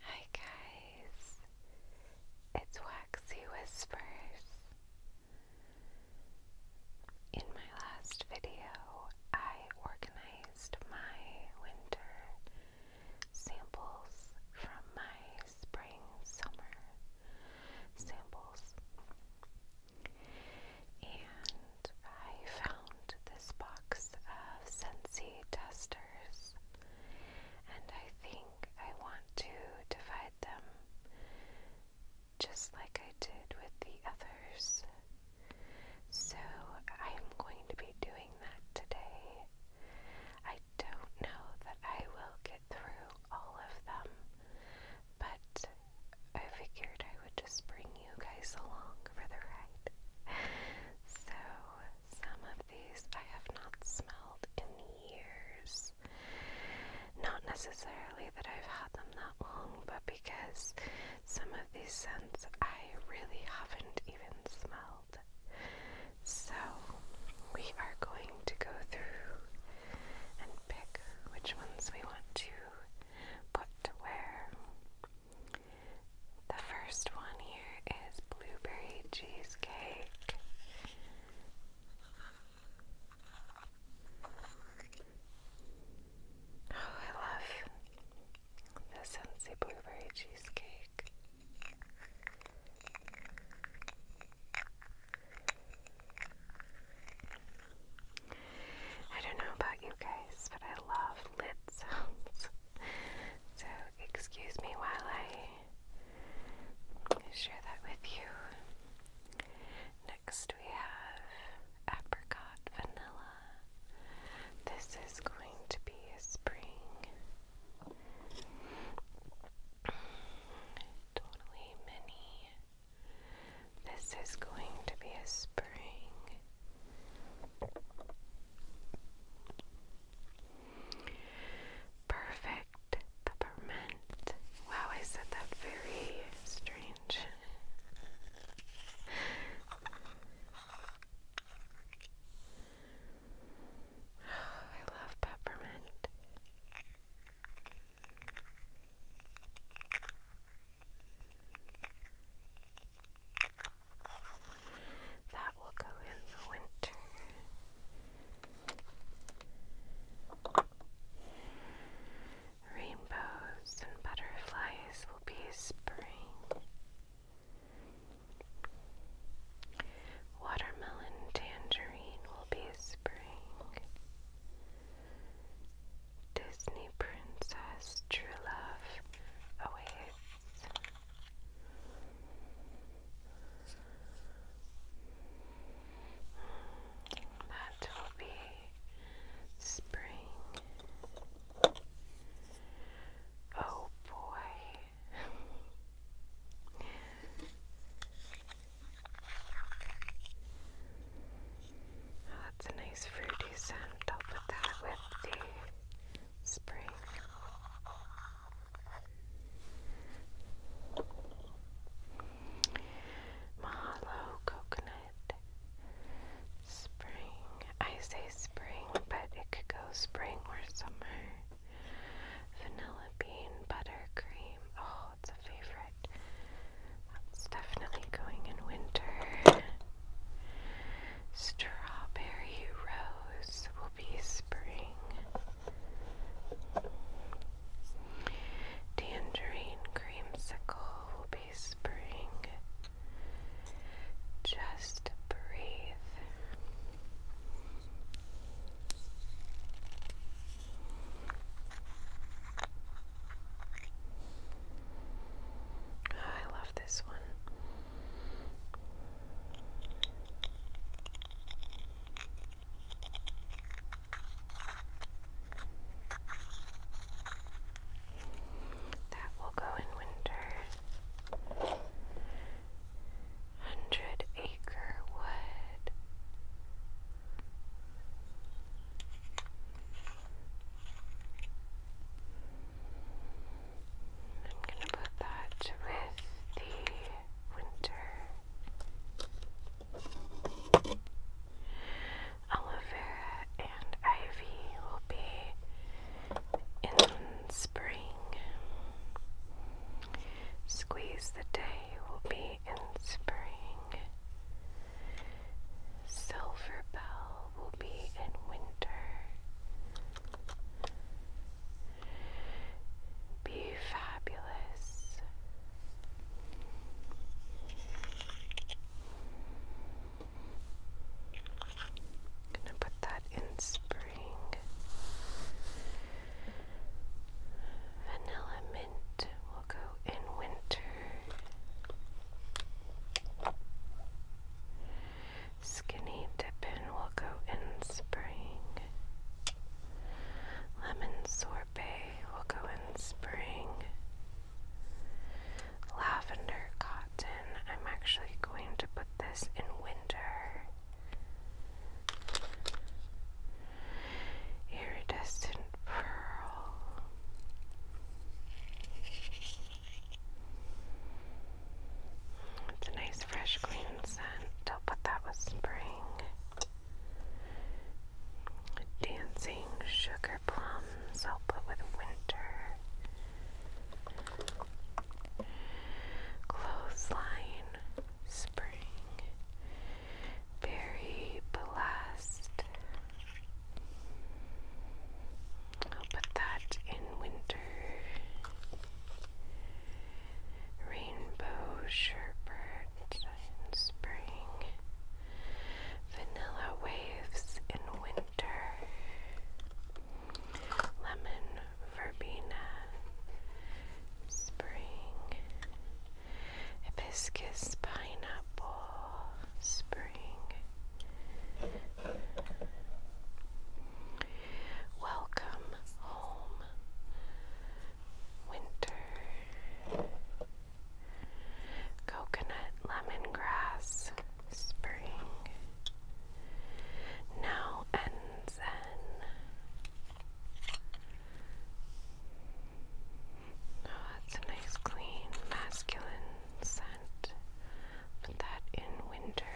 Hi guys, it's Waxy Whispers. In my last video, I organized my winter samples from my spring summer samples. And I found this box of Scentsy testers, and I think I want to divide them just like I did with the others. So I'm going to be doing that today. I don't know that I will get through all of them, but I figured I would just bring you guys along for the ride. So, some of these I have not smelled in years. Not necessarily that I've had them that long, but because some of these scents I really haven't even smelled. So, we are going to go through and pick which ones we want to put to wear. The first one here is blueberry cheesecake. Oh, I love the Sensi blueberry cheesecake. I don't know about you guys, but I love of lit So, excuse me while I share that with you. Next, we have apricot vanilla. This is going to be a spring. Totally mini. This is going to be a spring. Perfect peppermint. Wow, I said that very strange. I love peppermint. That will go in the winter. Rainbows and butterflies will be spring. Watermelon tangerine will be spring. Disney princess true love away that will be spring. Oh boy. that's a nice fruity scent. I'll put that with the spring. Mahalo coconut. Spring. I say spring, but it could go spring or summer. Vanilla bean buttercream. Oh, it's a favorite. That's definitely going in winter. Strawberry rose will be spring. Tangerine creamsicle will be spring. Just breathe. I love this one. That will go in winter. Hundred acre wood. I'm going to put that with the winter aloe vera and ivy will be in spring. Squeeze the day will be in spring. Silver Bell will be in winter. Be fabulous. gonna put that in spring. Vanilla mint will go in winter. Skinny dipping will go in spring. Lemon sorbet will go in spring. Lavender cotton, I'm actually going to put this in winter. Iridescent pearl. It's a nice, fresh, clean scent. I'll put that with spring. Dancing sugar plums. I'll put with winter. Clothesline spring. Very blessed. I'll put that in winter. Rainbow sherbet in spring. Vanilla waves in winter. Lemon verbena spring. Hibiscus pineapple spring. Welcome home, winter. Coconut lemongrass, spring. Now and then. Oh, that's a nice, clean, masculine sound. Put that in winter.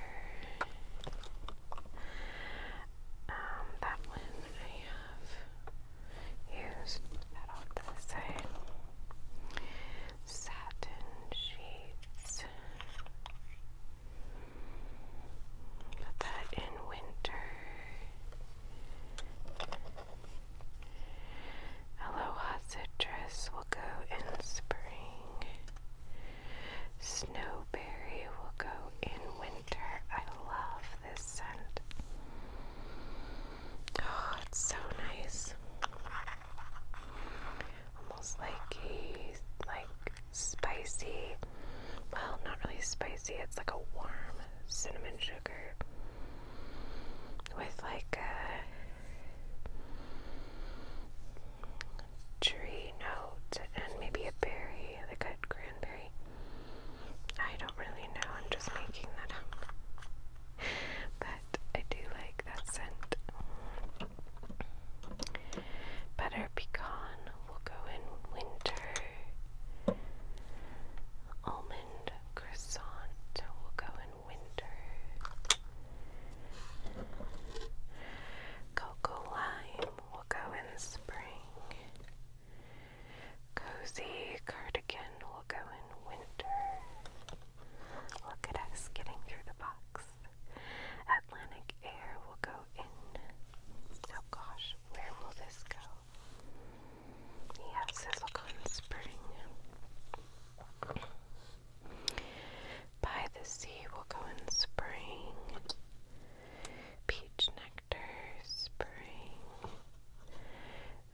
Um, that one I have used. Put that off to the side. Satin sheets. Put that in winter. Aloha citrus will go in spring. Snowberry will go in winter. I love this scent. Oh, it's so nice. Almost like a like spicy. Well, not really spicy. It's like a warm cinnamon sugar with like a tree note and maybe a berry, like a cranberry. I don't really know, I'm just making that up. But I do like that scent. Butter pecan will go in winter. Almond croissant will go in winter. Cocoa lime will go in spring. Cozy cardigan will go in winter. Look at us getting through the box. Atlantic air will go in. Oh gosh, where will this go? Yeah, silicone spring. By the Sea we will go in spring. Peach nectar, spring.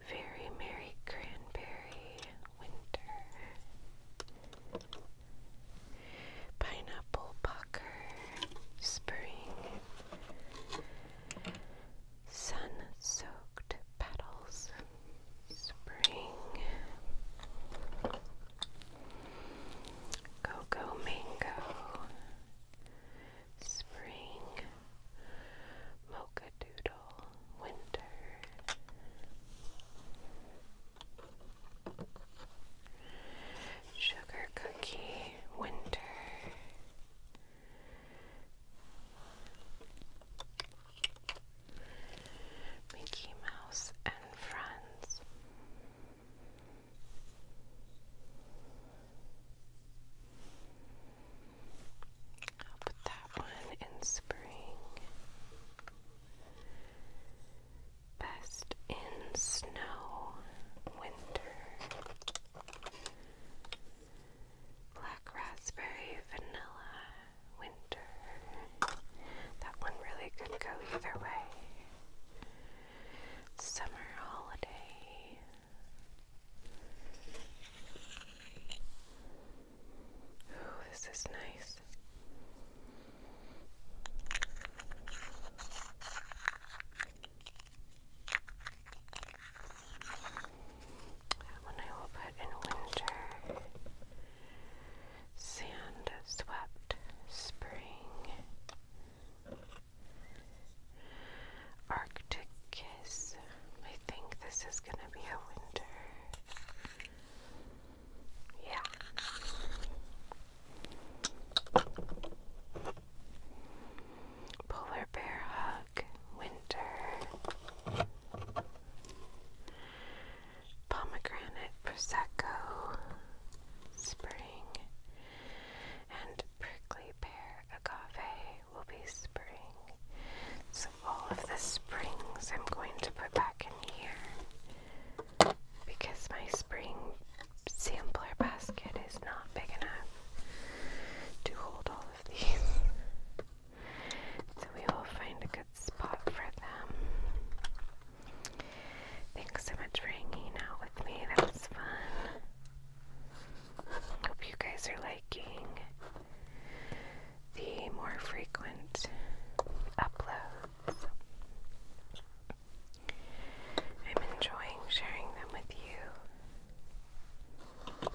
Very merry cranberry, winter. Pineapple pucker, spring. Sun soaked petals, Spring Cocoa Mango Spring Mocha Doodle Winter Sugar Cookie Winter Mickey Mouse and Friends. I'll put that one in spring. Best in snow, winter. Black raspberry vanilla winter. That one really could go either way. Summer holiday. Ooh, this is nice. That one I will put in winter. Sand swept spring. Arctic kiss. I think this is gonna be a winter. Yeah. Polar bear hug. Winter, Pomegranate Prosecco, Spring, and Prickly Pear Agave will be Spring. So, all of the springs I'm going to put back in here because my spring sampler basket is not big enough to hold all of these. So we will find a good spot for them. Thanks so much for hanging out with me. That was fun. Hope you guys are liking the more frequent uploads. I'm enjoying sharing them with you.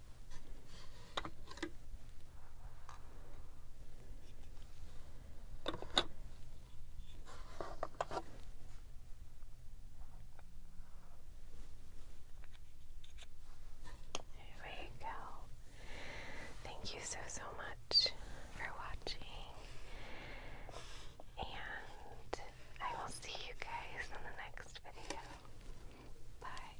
There we go. Thank you so, so much for watching. And I will see you guys in the next video. Bye.